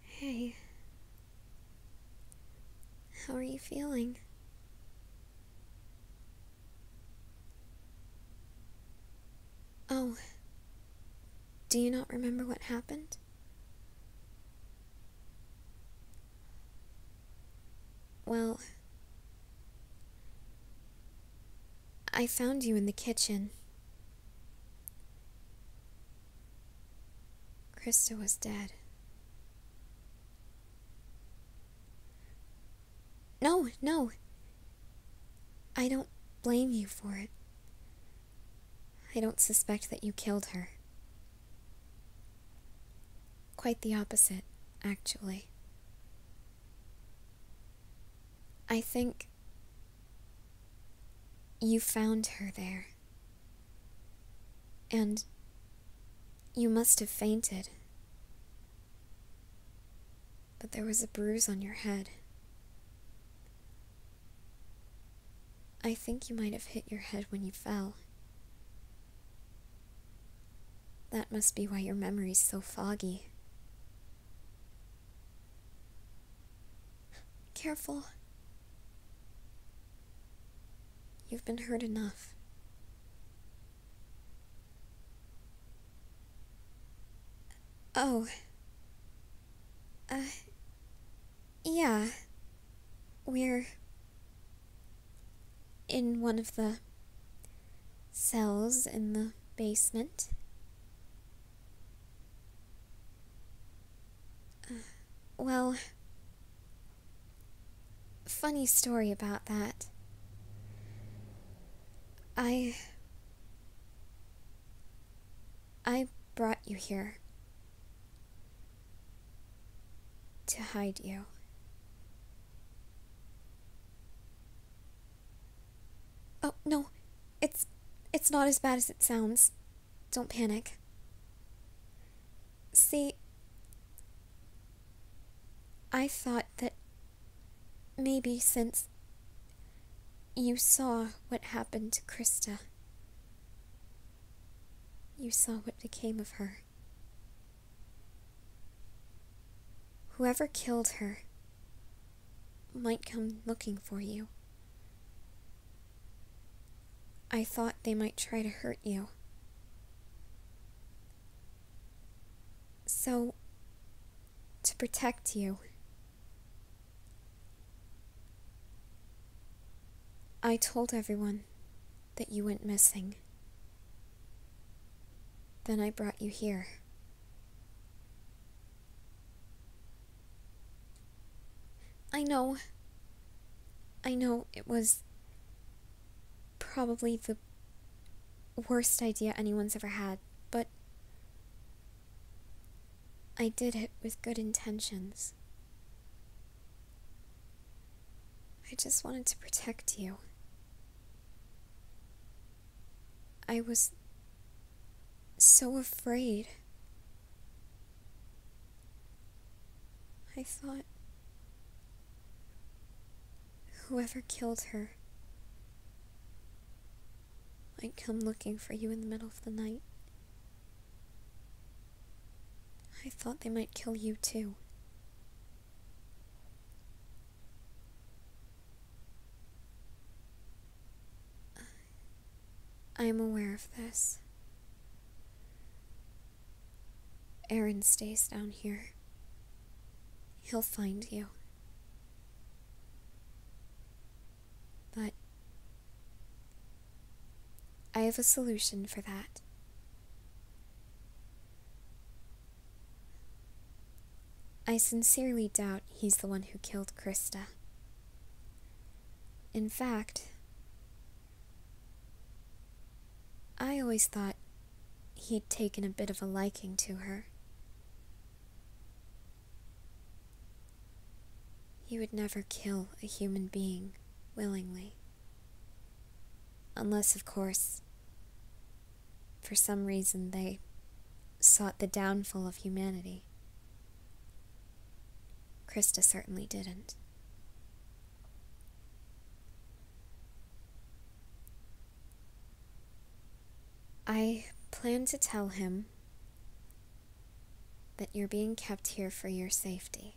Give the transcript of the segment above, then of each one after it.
Hey. How are you feeling? Oh. Do you not remember what happened? Well, I found you in the kitchen Krista was dead. No, no. I don't blame you for it. I don't suspect that you killed her. Quite the opposite, actually. I think you found her there. And you must have fainted. But there was a bruise on your head. I think you might have hit your head when you fell. That must be why your memory's so foggy. Careful. You've been hurt enough. Oh. Uh. Yeah. We're. in one of the cells in the basement well, funny story about that. I. I brought you here. To hide you. Oh, no. It's it's not as bad as it sounds. Don't panic. See, I thought that maybe since you saw what happened to Krista, you saw what became of her. Whoever killed her might come looking for you. I thought they might try to hurt you. So, to protect you, I told everyone that you went missing. Then I brought you here. I know. I know it was probably the worst idea anyone's ever had, but I did it with good intentions. I just wanted to protect you. I was so afraid. I thought whoever killed her might come looking for you in the middle of the night. I thought they might kill you too. I am aware of this. Aaron stays down here. He'll find you. But I have a solution for that. I sincerely doubt he's the one who killed Krista. In fact, I always thought he'd taken a bit of a liking to her. He would never kill a human being willingly. Unless, of course, for some reason, they sought the downfall of humanity. Krista certainly didn't. I plan to tell him that you're being kept here for your safety.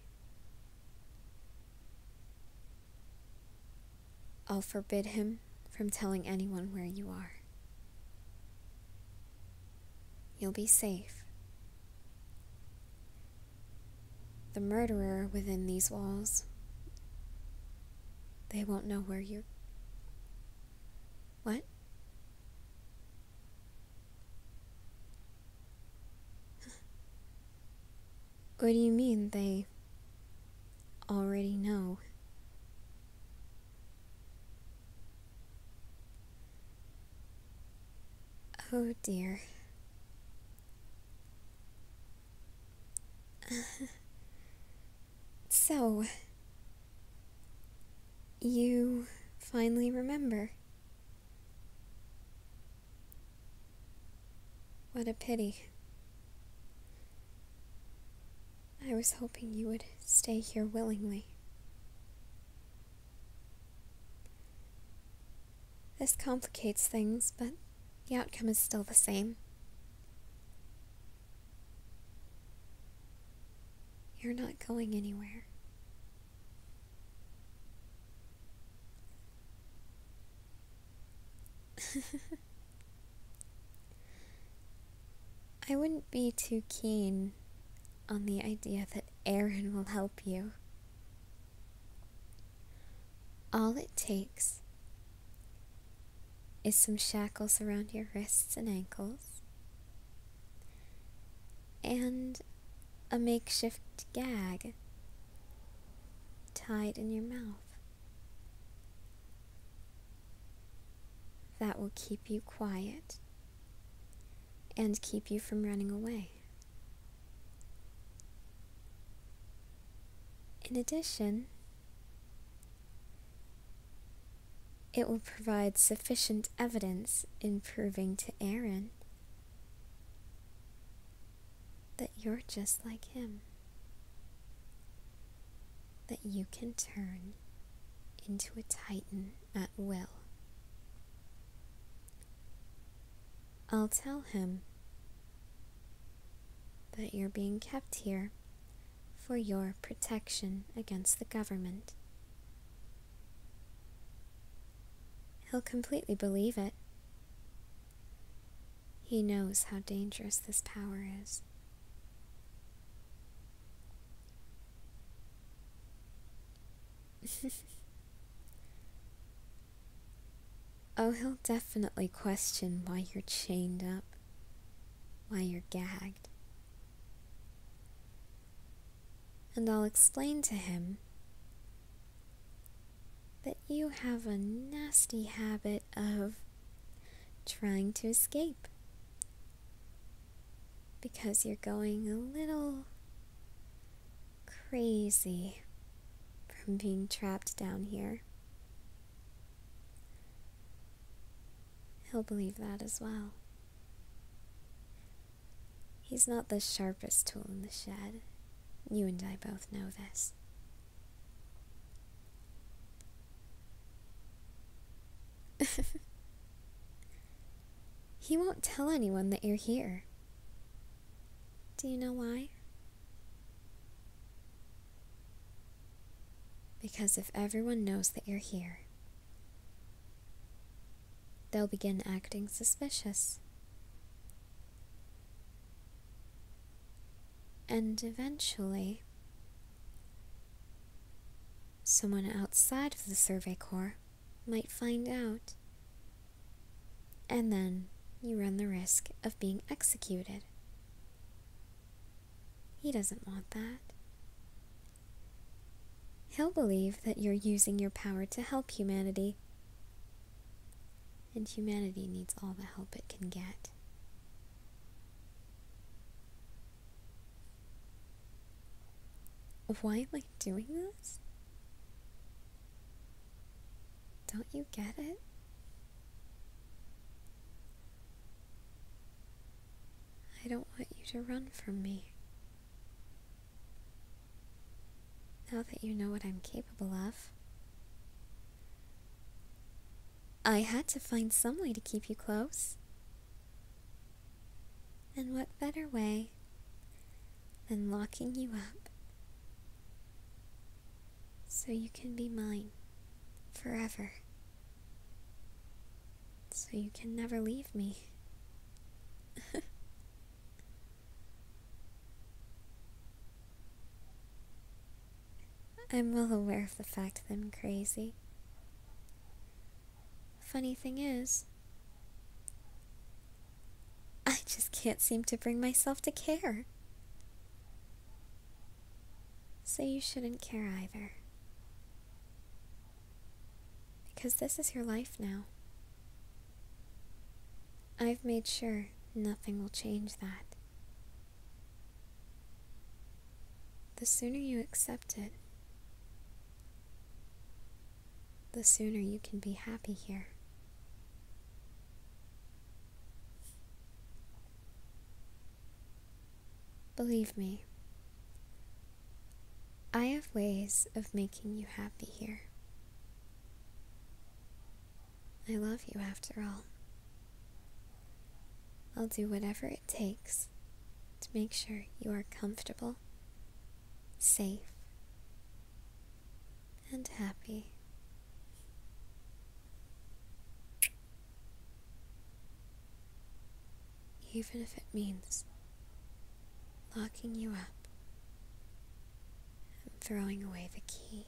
I'll forbid him from telling anyone where you are. You'll be safe. The murderer within these walls, they won't know where you're. What? What do you mean they already know? Oh dear. so, you finally remember. What a pity. I was hoping you would stay here willingly. This complicates things, but the outcome is still the same. You're not going anywhere. I wouldn't be too keen on the idea that Aaron will help you. All it takes is some shackles around your wrists and ankles and a makeshift gag tied in your mouth. That will keep you quiet and keep you from running away. In addition, it will provide sufficient evidence in proving to Aaron that you're just like Him, that you can turn into a Titan at will. I'll tell him that you're being kept here for your protection against the government. He'll completely believe it he knows how dangerous this power is. oh, he'll definitely question why you're chained up, why you're gagged. And I'll explain to him that you have a nasty habit of trying to escape because you're going a little crazy from being trapped down here. He'll believe that as well. He's not the sharpest tool in the shed. You and I both know this. he won't tell anyone that you're here. Do you know why? Because if everyone knows that you're here, They'll begin acting suspicious. And eventually, someone outside of the Survey Corps might find out. And then you run the risk of being executed. He doesn't want that. He'll believe that you're using your power to help humanity and humanity needs all the help it can get. Why am I doing this? Don't you get it? I don't want you to run from me. Now that you know what I'm capable of, I had to find some way to keep you close. And what better way than locking you up so you can be mine forever? So you can never leave me. I'm well aware of the fact that I'm crazy. Funny thing is, I just can't seem to bring myself to care. Say you shouldn't care either. Because this is your life now. I've made sure nothing will change that. The sooner you accept it, the sooner you can be happy here. Believe me, I have ways of making you happy here. I love you after all. I'll do whatever it takes to make sure you are comfortable, safe, and happy. Even if it means locking you up and throwing away the key.